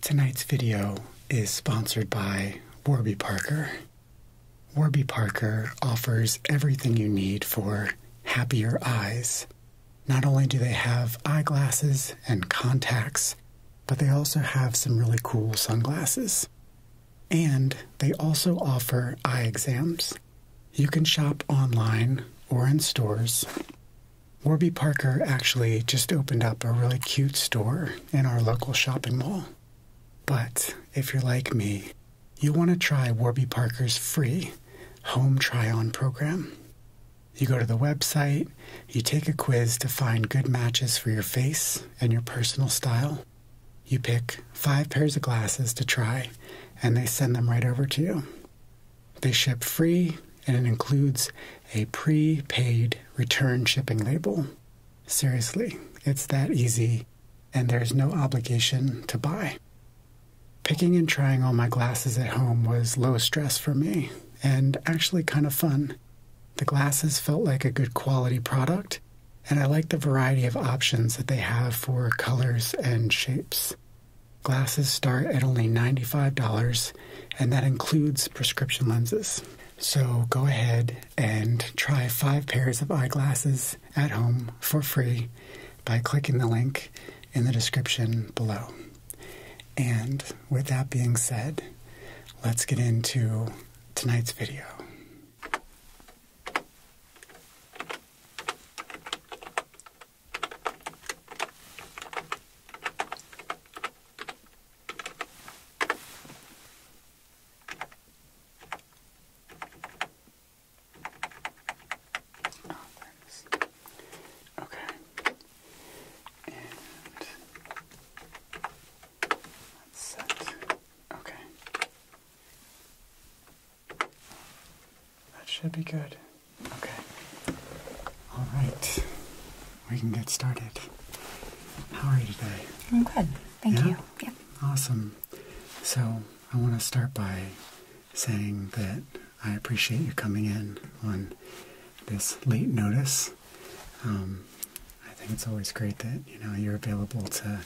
Tonight's video is sponsored by Warby Parker. Warby Parker offers everything you need for happier eyes. Not only do they have eyeglasses and contacts, but they also have some really cool sunglasses. And they also offer eye exams. You can shop online or in stores. Warby Parker actually just opened up a really cute store in our local shopping mall. But if you're like me, you'll want to try Warby Parker's free home try on program. You go to the website, you take a quiz to find good matches for your face and your personal style. You pick five pairs of glasses to try, and they send them right over to you. They ship free, and it includes a prepaid return shipping label. Seriously, it's that easy, and there's no obligation to buy. Picking and trying all my glasses at home was low stress for me, and actually kind of fun. The glasses felt like a good quality product, and I like the variety of options that they have for colors and shapes. Glasses start at only $95, and that includes prescription lenses. So go ahead and try five pairs of eyeglasses at home for free by clicking the link in the description below. And with that being said, let's get into tonight's video. Okay. And that's set. Okay. That should be good. Okay. All right. We can get started. How are you today? I'm good. Thank you. Yeah. Awesome. So, I want to start by saying that I appreciate you coming in on this late notice. Um, I think it's always great that, you know, you're available to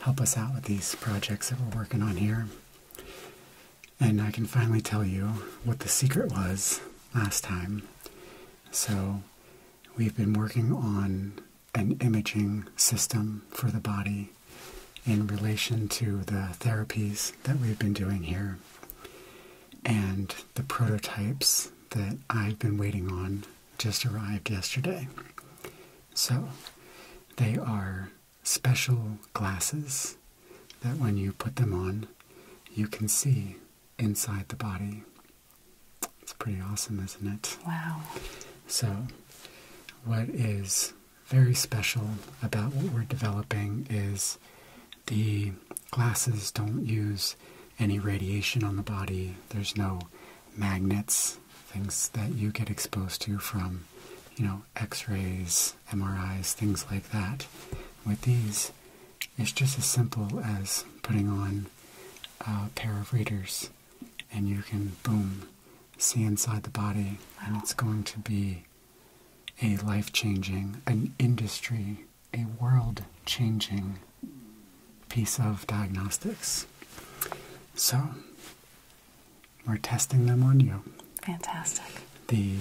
help us out with these projects that we're working on here. And I can finally tell you what the secret was last time. So, we've been working on an imaging system for the body in relation to the therapies that we've been doing here and the prototypes that I've been waiting on just arrived yesterday. So, they are special glasses that when you put them on, you can see inside the body. It's pretty awesome, isn't it? Wow. So, what is very special about what we're developing is the glasses don't use any radiation on the body, there's no magnets, things that you get exposed to from, you know, x rays, MRIs, things like that. With these, it's just as simple as putting on a pair of readers and you can, boom, see inside the body. And it's going to be a life changing, an industry, a world changing piece of diagnostics. So, we're testing them on you. Fantastic. The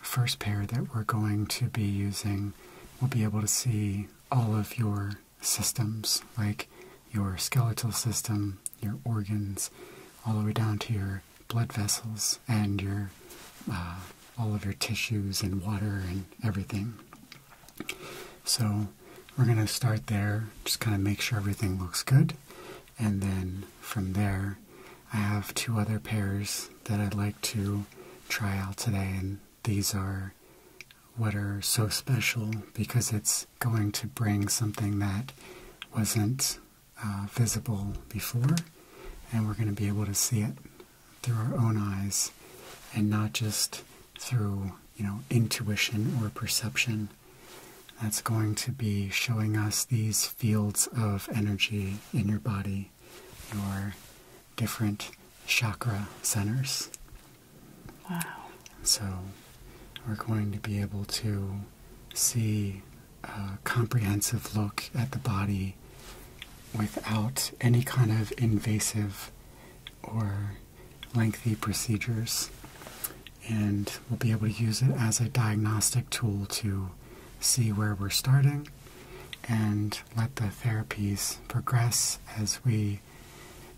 first pair that we're going to be using, we'll be able to see all of your systems, like your skeletal system, your organs, all the way down to your blood vessels and your uh, all of your tissues and water and everything. So we're going to start there, just kind of make sure everything looks good, and then from there I have two other pairs that I'd like to try out today, and these are what are so special because it's going to bring something that wasn't uh, visible before, and we're going to be able to see it through our own eyes and not just through, you know, intuition or perception. That's going to be showing us these fields of energy in your body see your different chakra centers. Wow. So we're going to be able to see a comprehensive look at the body without any kind of invasive or lengthy procedures. And we'll be able to use it as a diagnostic tool to see where we're starting and let the therapies progress as we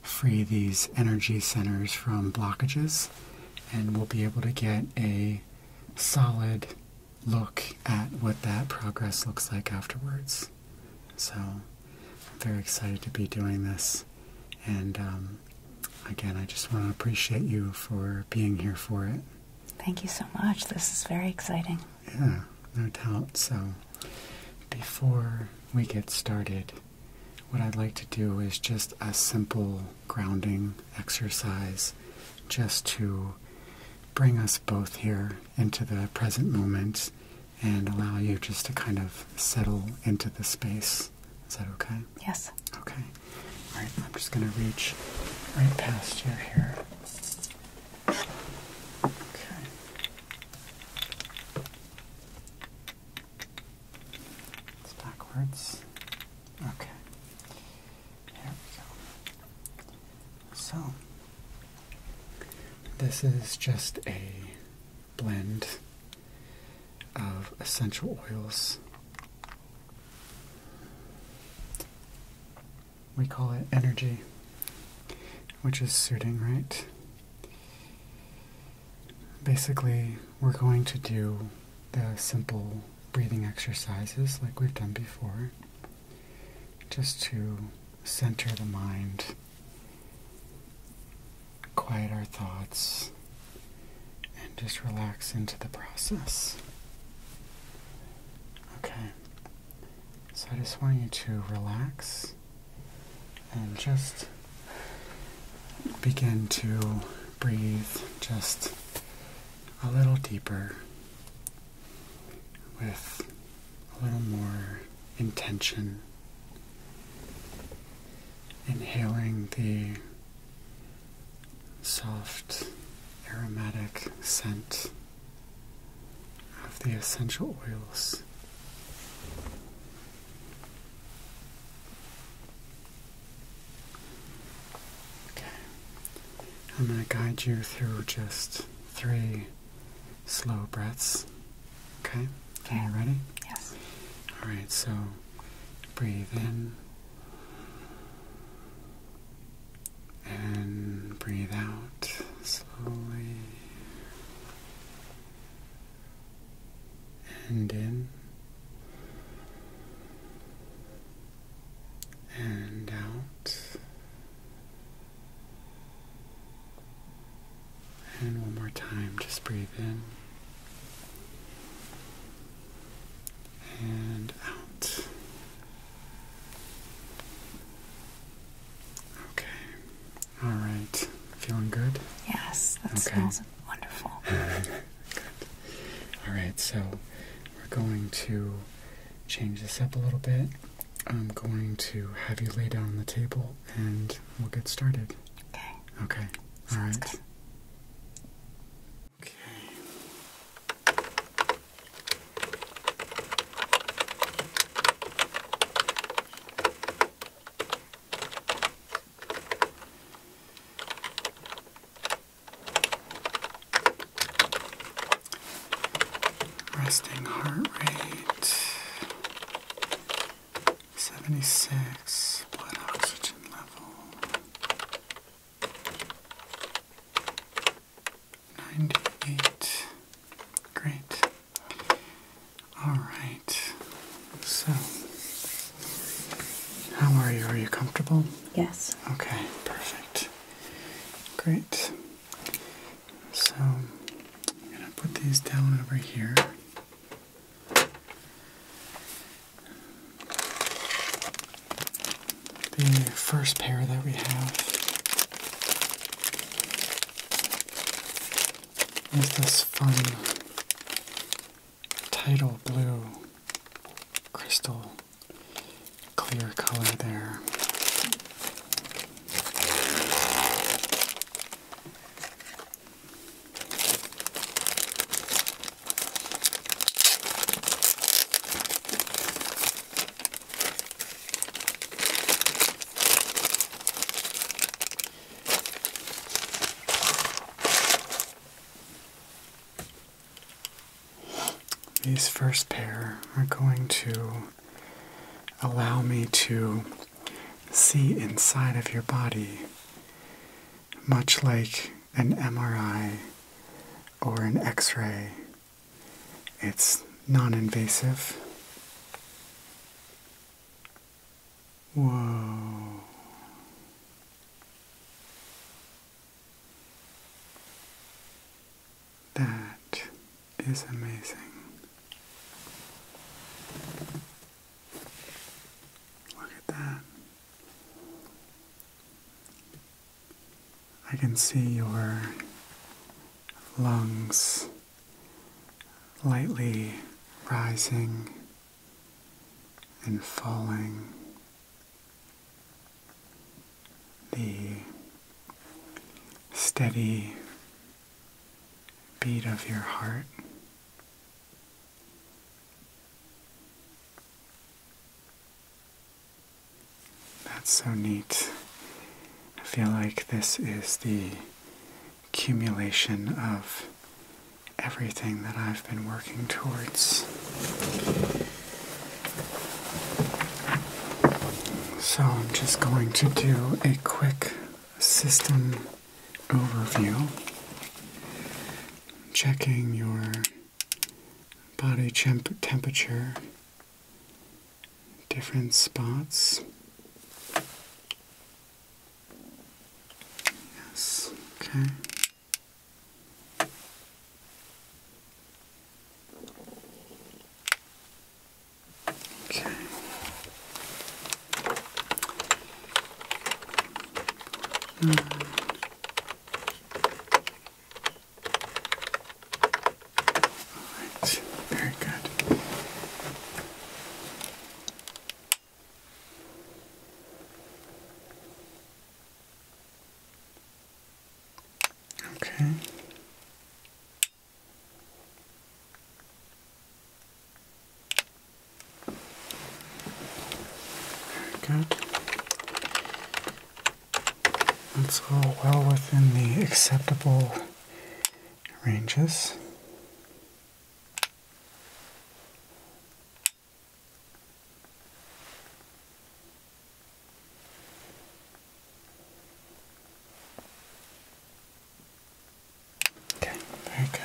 free these energy centers from blockages, and we'll be able to get a solid look at what that progress looks like afterwards. So, I'm very excited to be doing this, and um, again, I just want to appreciate you for being here for it. Thank you so much. This is very exciting. Yeah, no doubt. So, before we get started, what I'd like to do is just a simple grounding exercise just to bring us both here into the present moment and allow you just to kind of settle into the space. Is that okay? Yes. Okay. All right, I'm just going to reach right past you here. Okay. It's backwards. Okay. There we go. So, this is just a blend of essential oils we call it energy, which is suiting, right? Basically, we're going to do the simple breathing exercises like we've done before, just to center the mind, quiet our thoughts, and just relax into the process. Okay. So I just want you to relax and just begin to breathe just a little deeper with a little more intention. Inhaling the soft aromatic scent of the essential oils. Okay, I'm going to guide you through just three slow breaths. Okay, okay. are you ready? Yes. Alright, so breathe in and breathe out slowly and in and out. And one more time, just breathe in and out. Okay. All right. Feeling good? Yes, that okay. smells wonderful. All right, so we're going to change this up a little bit. I'm going to have you lay down on the table and we'll get started. Okay. Okay. All Okay. Resting heart rate 76, blood oxygen level. 98. Great. Alright. So, how are you? Are you comfortable? Yes. Okay, perfect. Great. So, I'm going to put these down over here the first pair that we have is this fun tidal blue crystal clear color there. These first pair are going to allow me to see inside of your body, much like an MRI or an X ray it's non invasive. Whoa. That is amazing. Look at that. I can see your lungs lightly rising and falling. The steady beat of your heart. That's so neat. I feel like this is the accumulation of everything that I've been working towards. So I'm just going to do a quick system overview, checking your body temperature different spots. Yes, okay. Okay. Nine. Hmm very good. Okay. Very good. That's all well within the acceptable ranges. Okay, very good.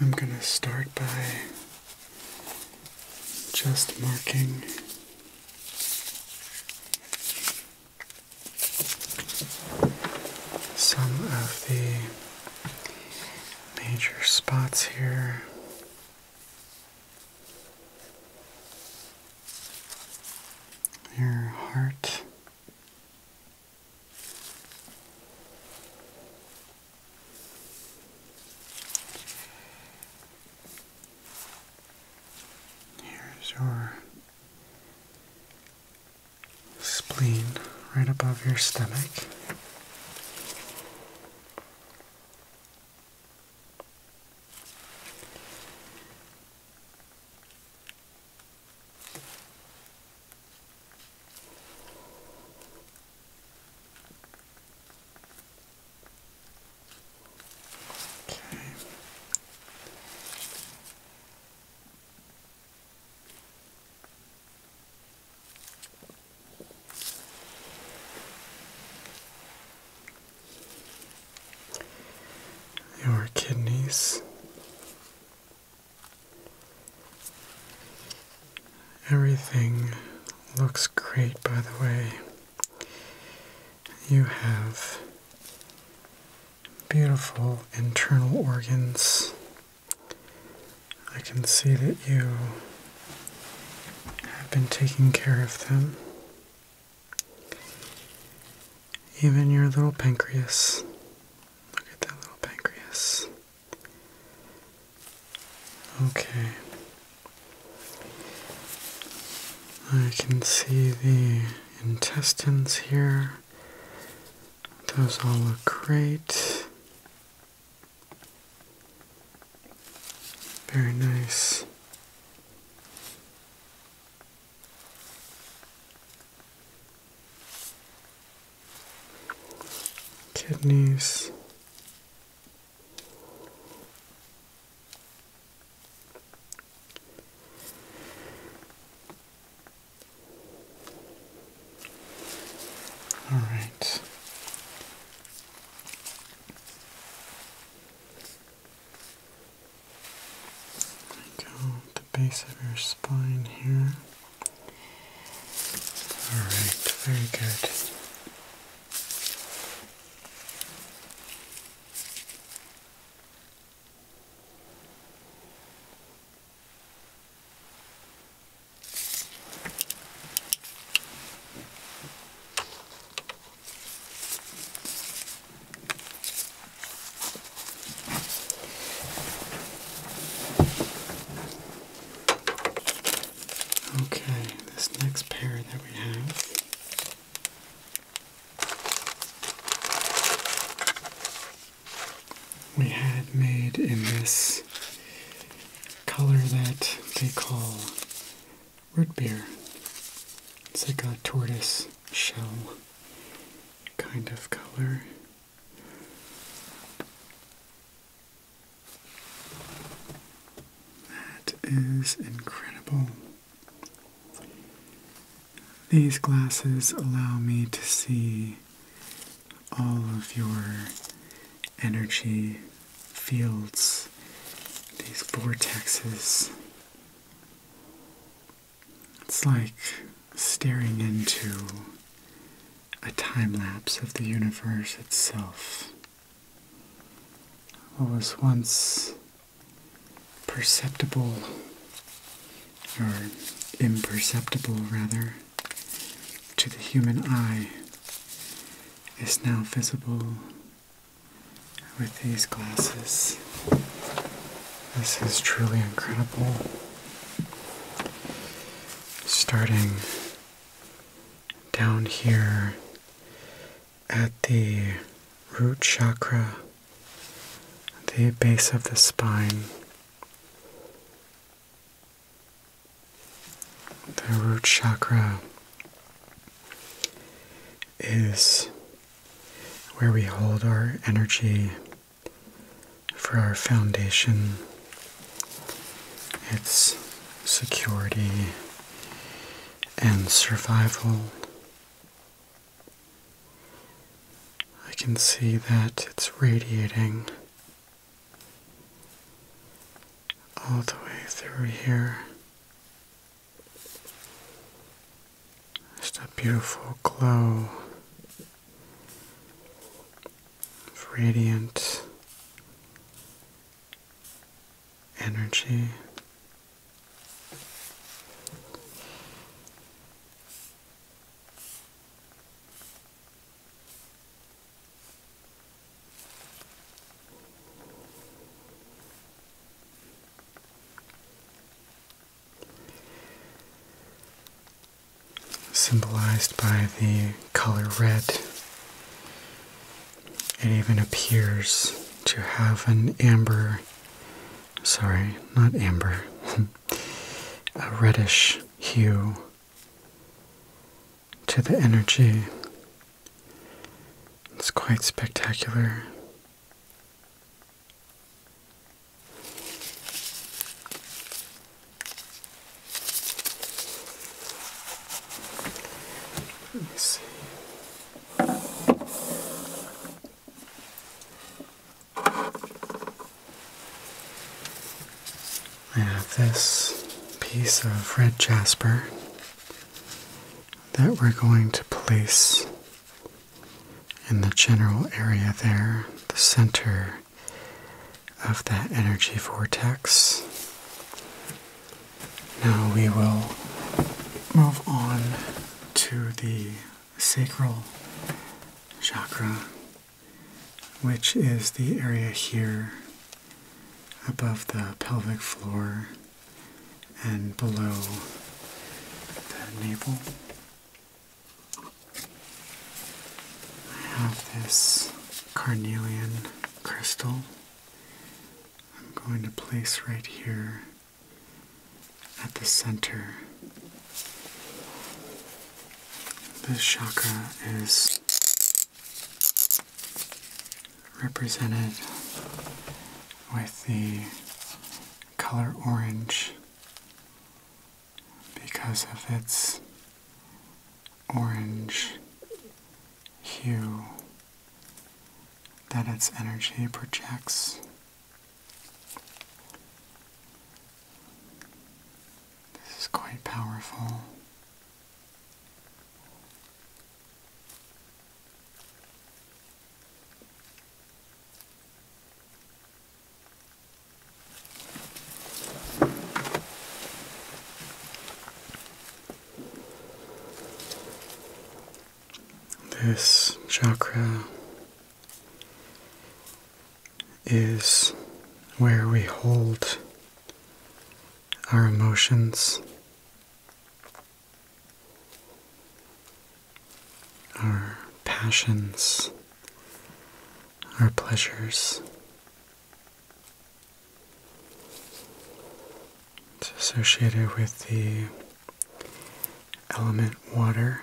I'm going to start by just marking some of the major spots here. Your heart. Here's your spleen right above your stomach. Okay. Your kidneys, everything looks great, by the way. You have beautiful internal organs I can see that you have been taking care of them. Even your little pancreas. Look at that little pancreas. Okay. I can see the intestines here. Those all look great. Very nice. Kidneys. All right. There go the base of your spine here. All right, very good. Okay, this next pair that we have we had made in this color that they call root beer. It's like a tortoise shell kind of color. That is incredible. These glasses allow me to see all of your energy fields, these vortexes. It's like staring into a time lapse of the universe itself. What was once perceptible, or imperceptible rather, to the human eye is now visible with these glasses. This is truly incredible. Starting down here at the root chakra, the base of the spine, the root chakra is where we hold our energy for our foundation, its security and survival. I can see that it's radiating all the way through here. Just a beautiful glow of radiant energy. Symbolized by the color red, it even appears to have an amber, sorry, not amber, a reddish hue to the energy. It's quite spectacular. Let me see. I have this piece of red jasper that we're going to place in the general area there, the center of that energy vortex. Now we will move on to the sacral chakra which is the area here above the pelvic floor and below the navel. I have this carnelian crystal I'm going to place right here at the center this chakra is represented with the color orange because of its orange hue that its energy projects. This is quite powerful. This chakra is where we hold our emotions, our passions, our pleasures. It's associated with the element water.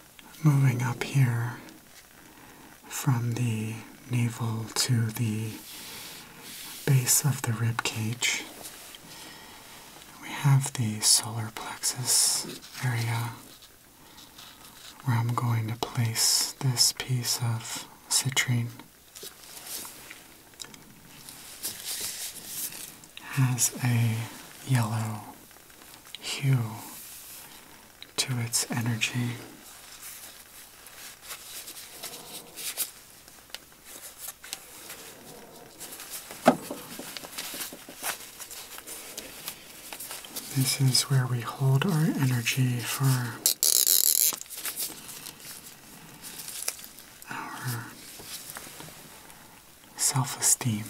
moving up here from the navel to the base of the rib cage. We have the solar plexus area where I'm going to place this piece of citrine. Has a yellow hue to its energy. This is where we hold our energy for our self esteem.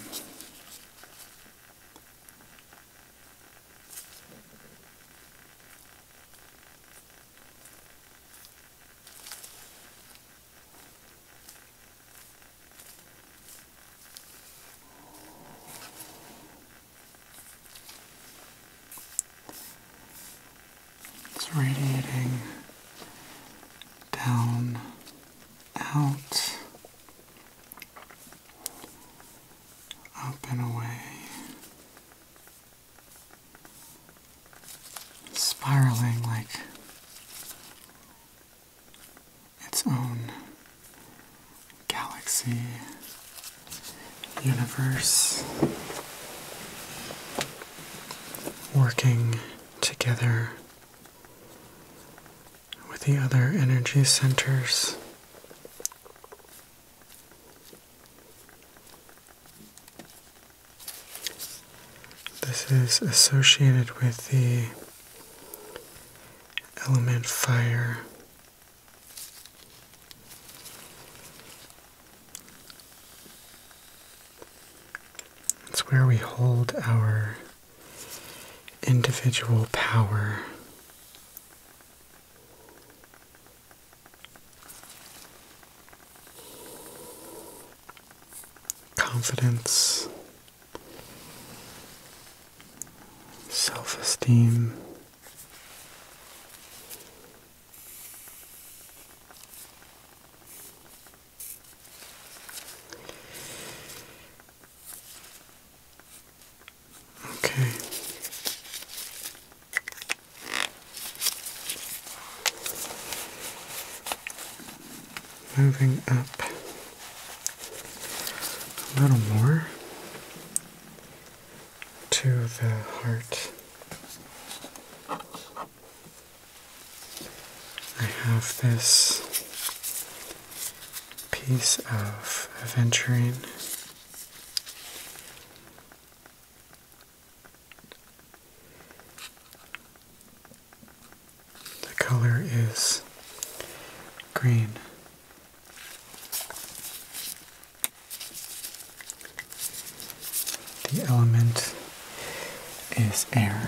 It's radiating down, out, up and away, spiraling like its own galaxy, universe, working together with the other energy centers. This is associated with the element fire. It's where we hold our individual power. Confidence, self esteem, Okay. Moving up a little more to the heart. I have this piece of aventurine. The color is green. The element is air.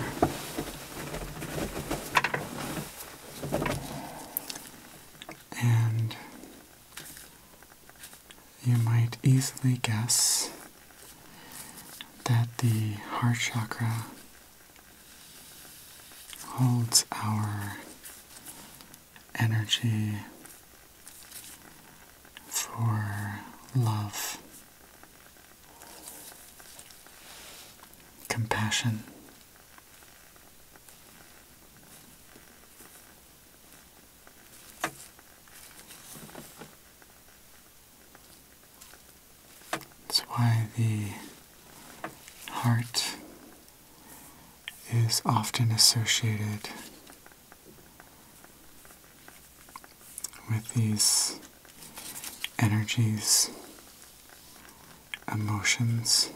And you might easily guess that the heart chakra holds our energy for love, compassion, that's why the heart is often associated with these energies emotions.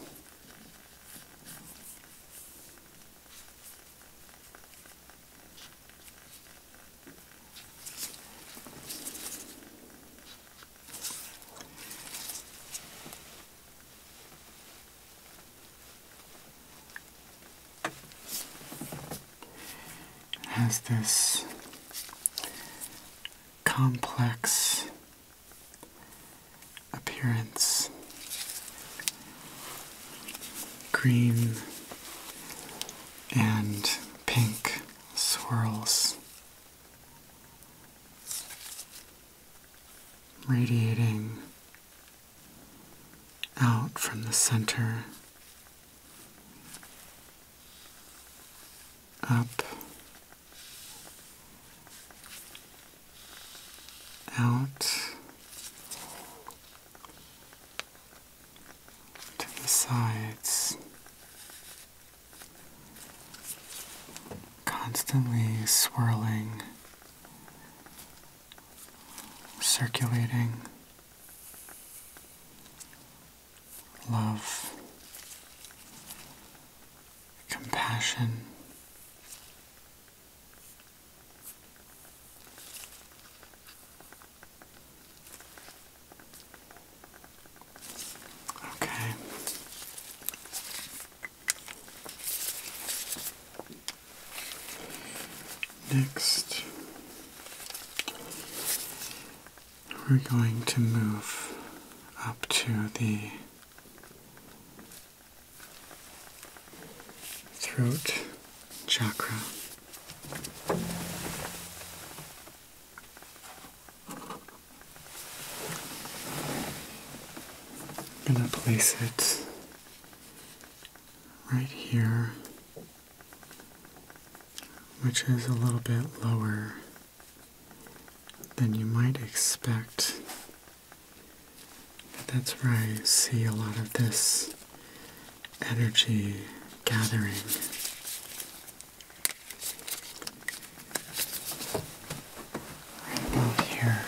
has this complex appearance. Green and pink swirls radiating out from the center up out to the sides, constantly swirling, circulating love, compassion. Okay. Next, we're going to move up to the throat chakra. I'm going to place it right here, which is a little bit lower then you might expect that's where I see a lot of this energy gathering. Right about here.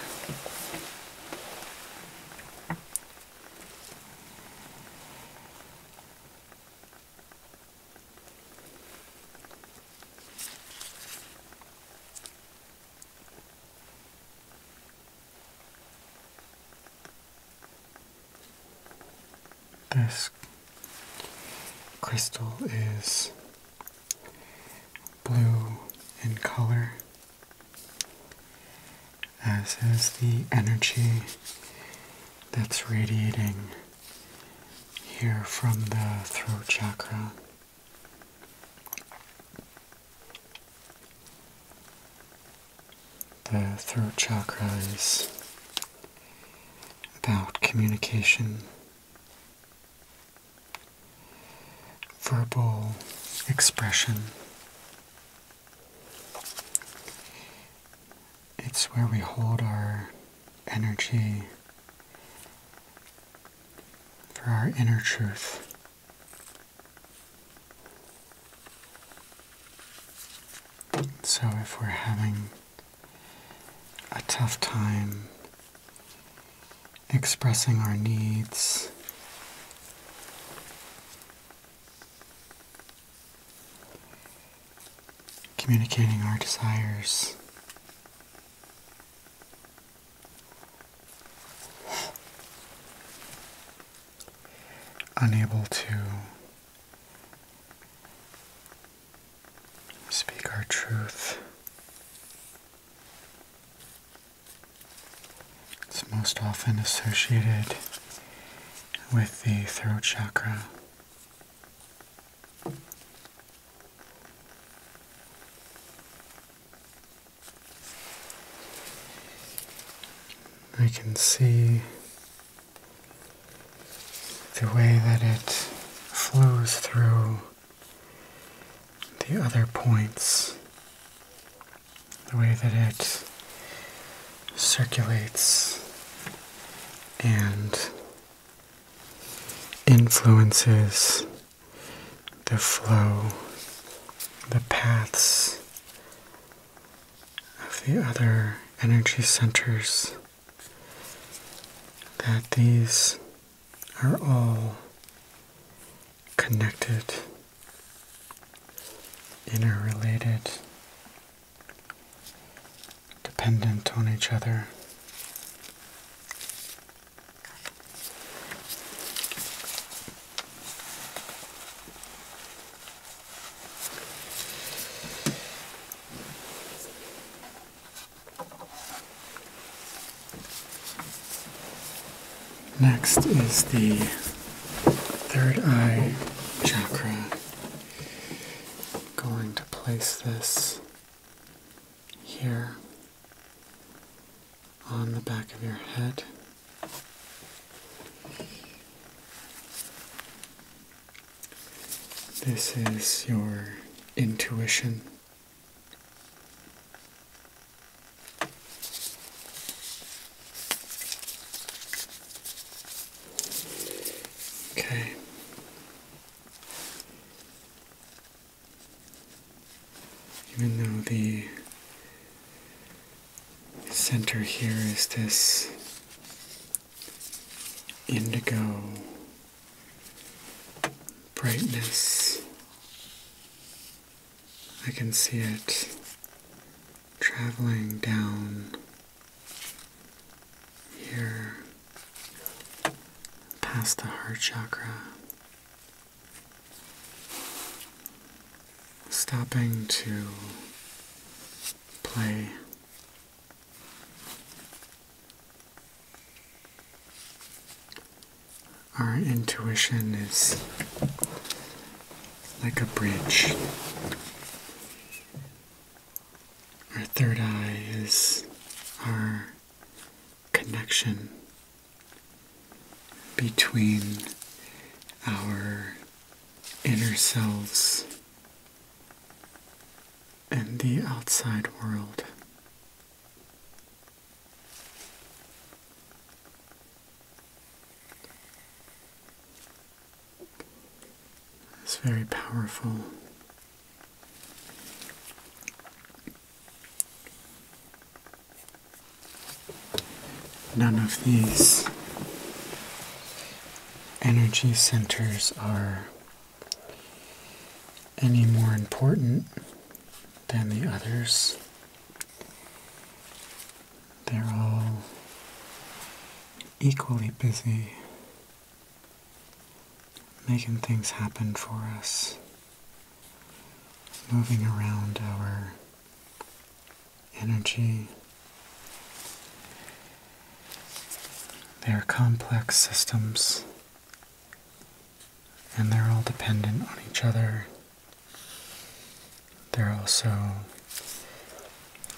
This crystal is blue in color, as is the energy that's radiating here from the throat chakra. The throat chakra is about communication, verbal expression. It's where we hold our energy for our inner truth. So if we're having a tough time expressing our needs, communicating our desires. Unable to speak our truth. It's most often associated with the throat chakra. I can see the way that it flows through the other points, the way that it circulates and influences the flow, the paths of the other energy centers, that these are all connected, interrelated, dependent on each other. Next is the third eye chakra. going to place this here on the back of your head. This is your intuition. Okay. Even though the center here is this indigo brightness, I can see it traveling down here past the heart chakra, stopping to play. Our intuition is like a bridge. Our third eye is our connection between our inner selves and the outside world. It's very powerful None of these energy centers are any more important than the others. They're all equally busy making things happen for us, moving around our energy. They are complex systems and they're all dependent on each other. They're also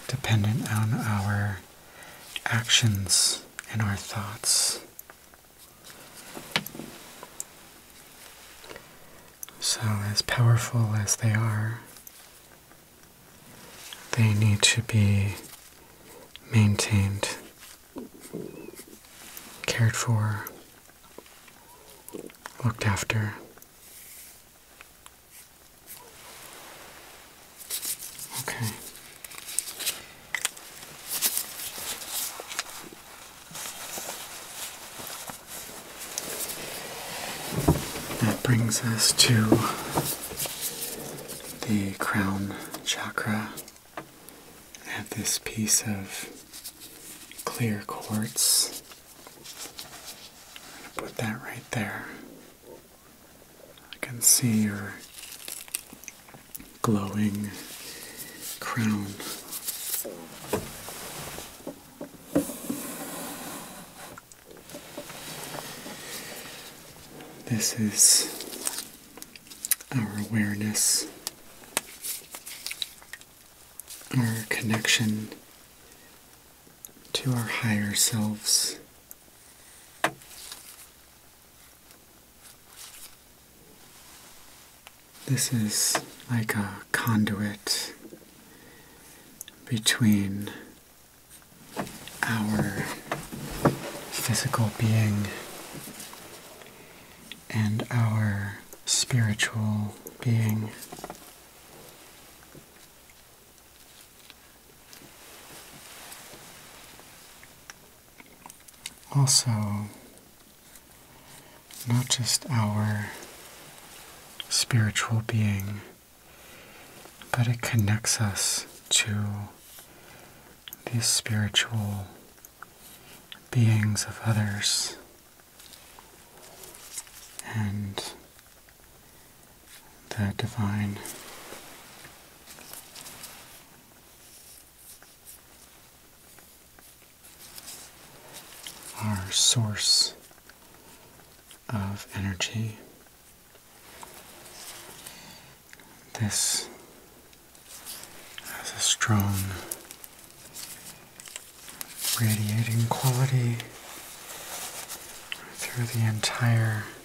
dependent on our actions and our thoughts. So, as powerful as they are, they need to be maintained, cared for, looked after. Okay. That brings us to the crown chakra. I have this piece of clear quartz. I'm going to put that right there. I can see your glowing crown. This is our awareness, our connection to our higher selves. This is like a conduit between our physical being and our spiritual being also not just our spiritual being, but it connects us to these spiritual beings of others. And the divine our source of energy. This has a strong radiating quality through the entire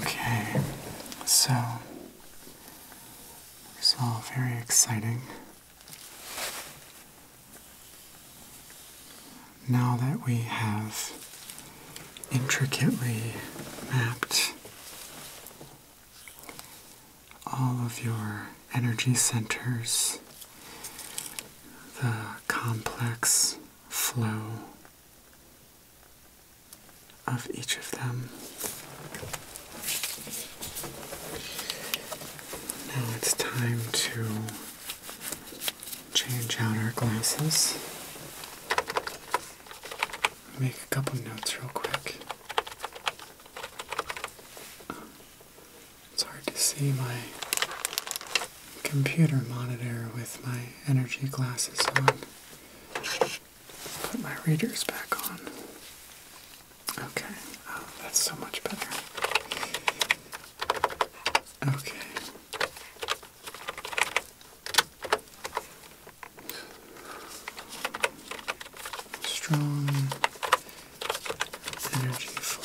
Okay, so it's all very exciting. Now that we have intricately mapped all of your energy centers, the complex flow of each of them. Now it's time to change out our glasses. Make a couple notes real quick. It's hard to see my computer monitor with my energy glasses on. Put my readers back on. Okay, oh, that's so much better. Okay. Strong energy flow.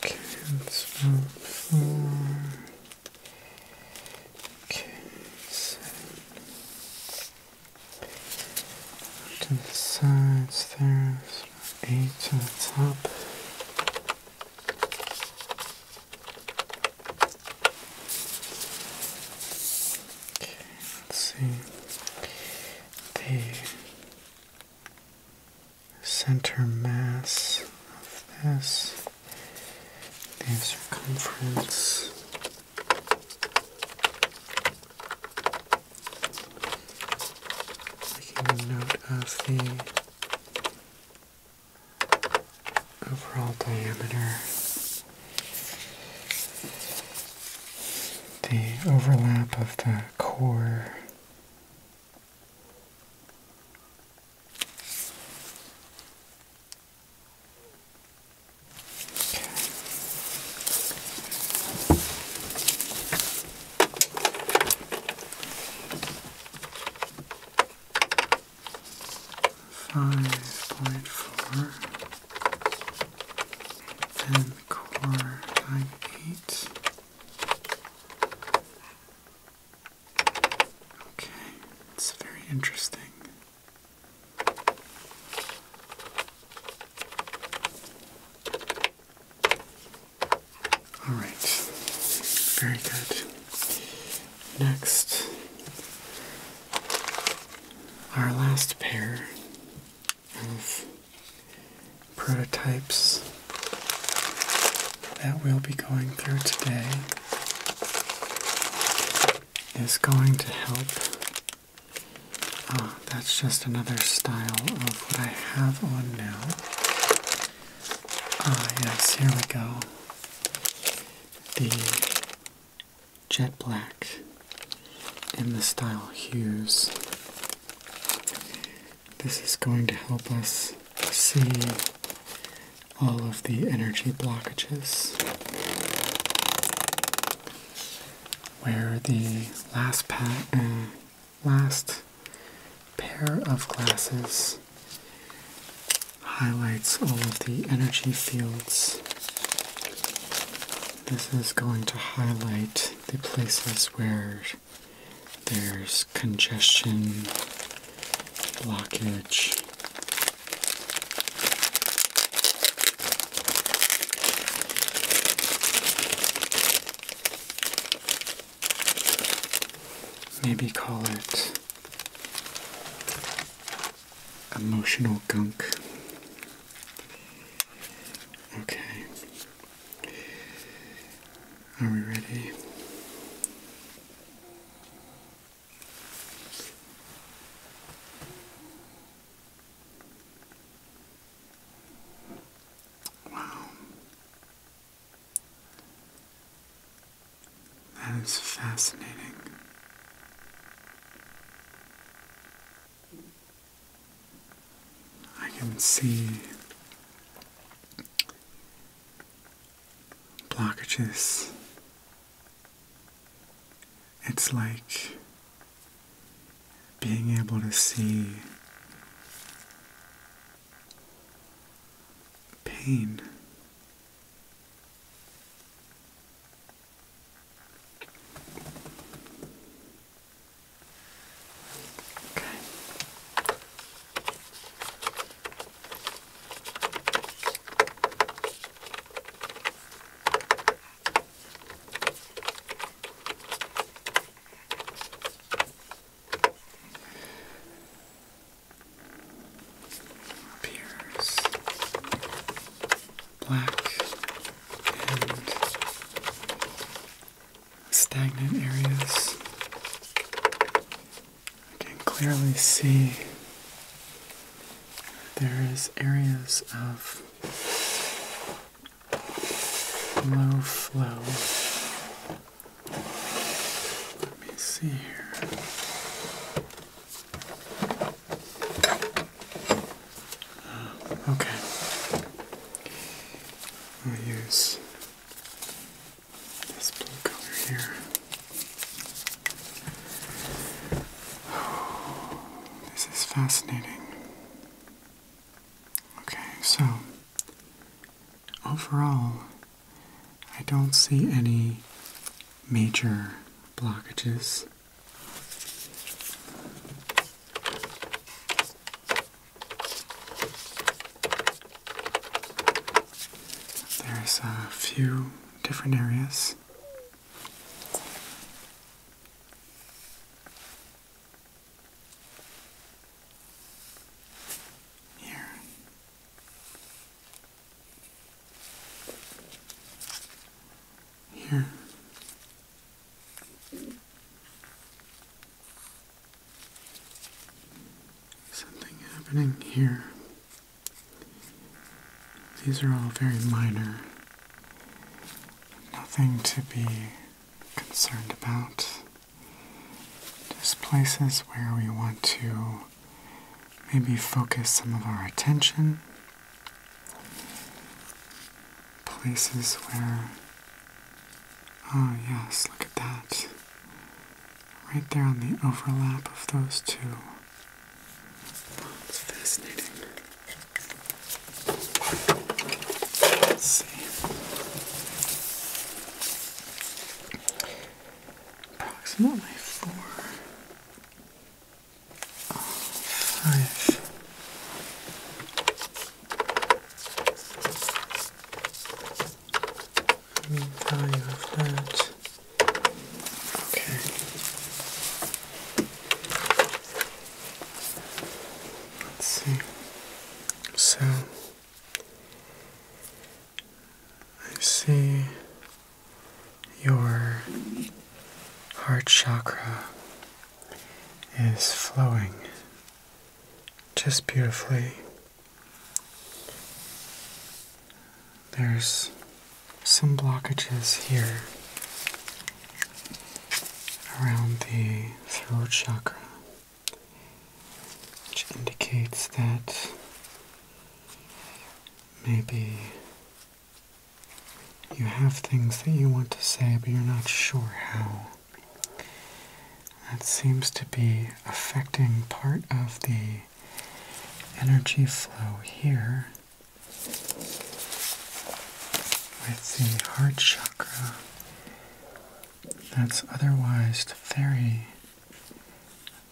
Cancel four. Okay, seven. To the sides there, eight to the top. Okay, let's see. The center mass of this, the circumference. Taking note of the overall diameter. The overlap of the core Five point four, then the core by eight. Okay, it's very interesting. All right, very good. Next, our last pair of prototypes that we'll be going through today is going to help. Oh, that's just another style of what I have on now. Ah, yes, here we go. The jet black in the style hues. This is going to help us see all of the energy blockages. Where the uh, last, pair of glasses highlights all of the energy fields. This is going to highlight the places where there's congestion, blockage. Maybe call it emotional gunk. Okay. Are we ready? Wow. That is fascinating. I can see blockages. It's like being able to see pain. Okay. Appears black and stagnant areas. I can clearly see there is areas of low flow. Let me see here. Uh, okay. use this blue color here. this is fascinating. Okay, so overall, I don't see any major blockages. There's a few different areas. Here. Here. Something happening here. These are all very minor. Nothing to be concerned about. Just places where we want to maybe focus some of our attention. Places where Oh yes, look at that. Right there on the overlap of those two. It's fascinating. Approximately four, oh, five, mean value of that. Okay. Let's see. So I see your heart chakra is flowing just beautifully there's some blockages here around the throat chakra, which indicates that maybe you have things that you want to say, but you're not sure how. That seems to be affecting part of the energy flow here with the heart chakra that's otherwise very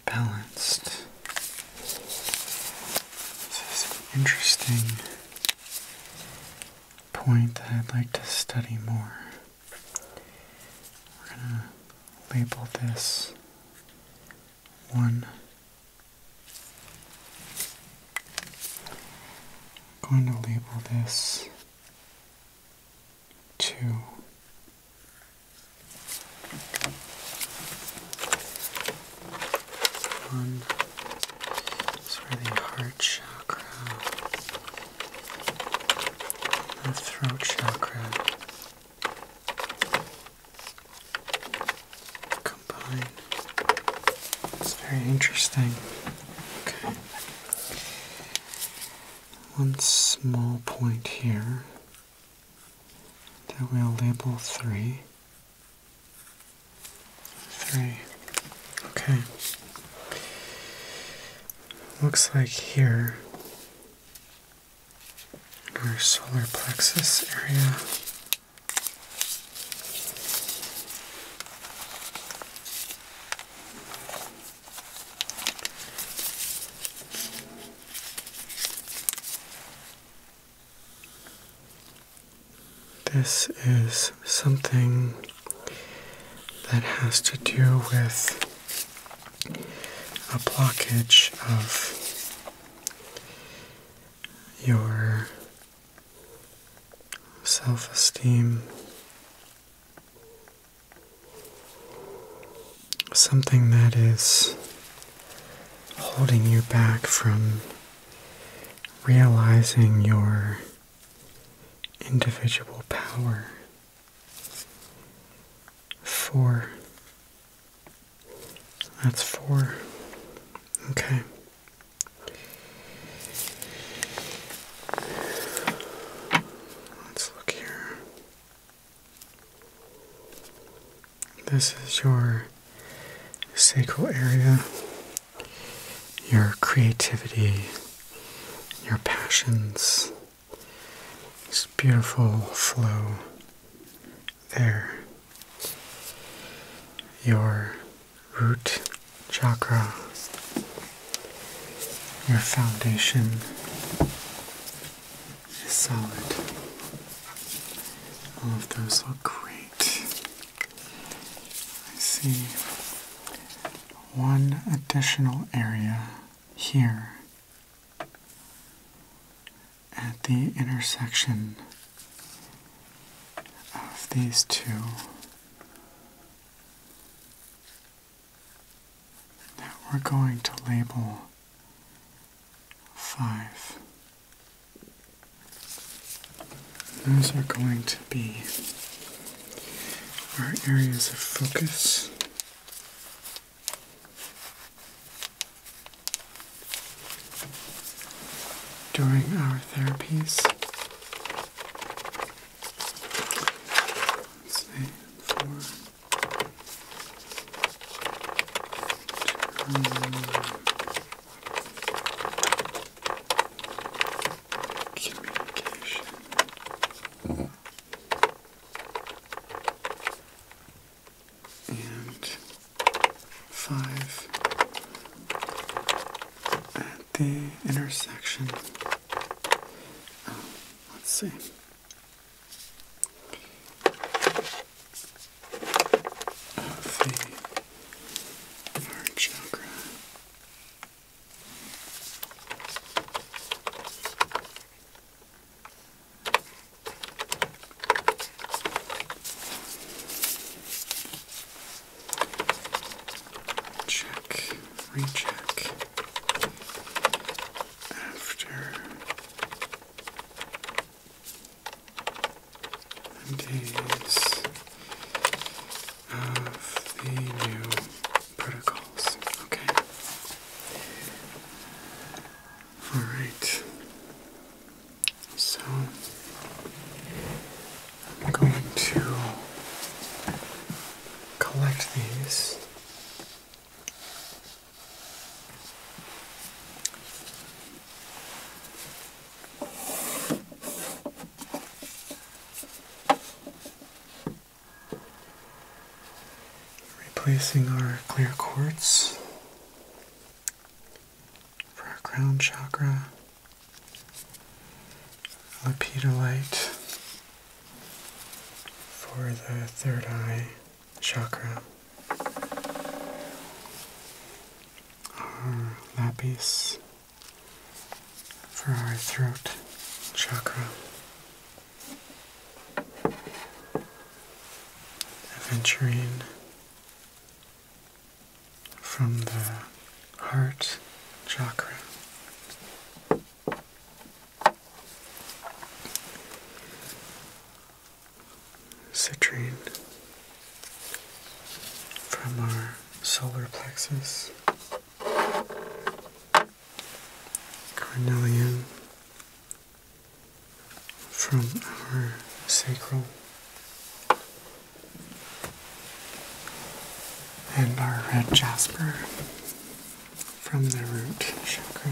balanced. This is an interesting point that I'd like to study more. We're going to label this one. I'm going to label this two. One is for the heart chakra the throat chakra combine. It's very interesting. Okay. One small point here that we'll label three. Three. Okay looks like here in our solar plexus area. This is something that has to do with a blockage of your self esteem, something that is holding you back from realizing your individual power. Four. that's four. Okay. Let's look here. This is your sacral area, your creativity, your passions, this beautiful flow there. Your root chakra, your foundation is solid. All of those look great. I see one additional area here at the intersection of these two that we're going to label five. Those are going to be our areas of focus during our therapies, communication. Mm-hmm and five at the intersection. Oh, let's see. Of heart chakra Check, recheck after days of the new protocols. Okay. All right. So I'm going to collect these. Replacing our clear quartz for our crown chakra, lapidolite for the third eye chakra, our lapis for our throat chakra venturing from the heart chakra citrine from our solar plexus carnelian from our sacral and our red jasper from the root chakra.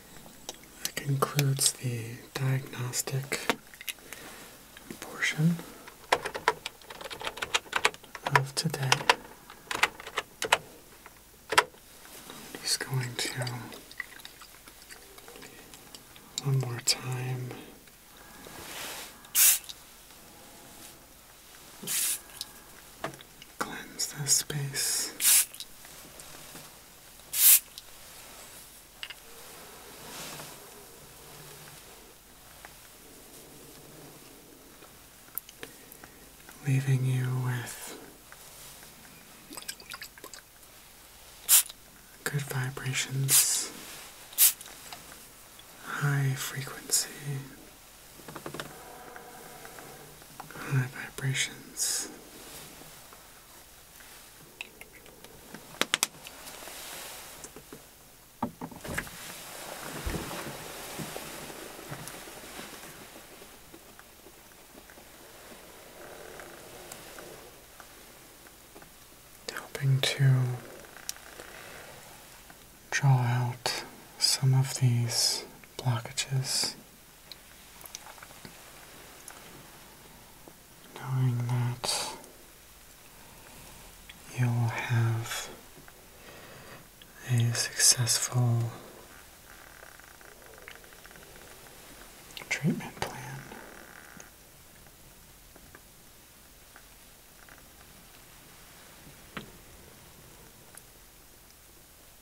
That concludes the diagnostic portion of today. He's going to one more time cleanse this space Leaving you with good vibrations, high frequency, high vibrations. Helping to draw out some of these blockages knowing that you'll have a successful treatment plan.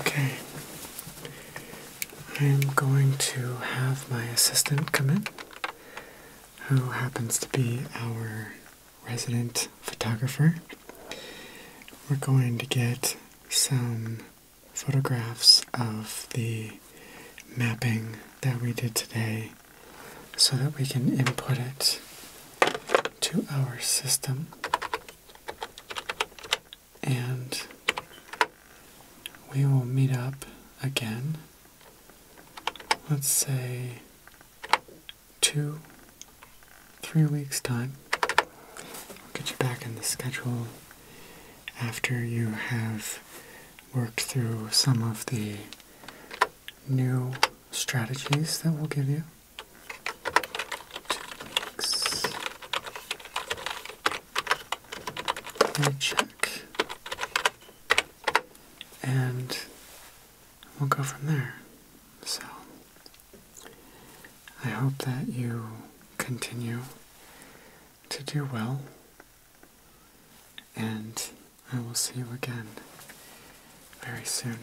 Okay. I am going to have my assistant come in, who happens to be our resident photographer. We're going to get some photographs of the mapping that we did today so that we can input it to our system. And we will meet up again, let's say two, three weeks' time. I'll get you back in the schedule after you have worked through some of the new strategies that we'll give you. Two weeks. Let check. And we'll go from there. So, I hope that you continue to do well, and I will see you again very soon.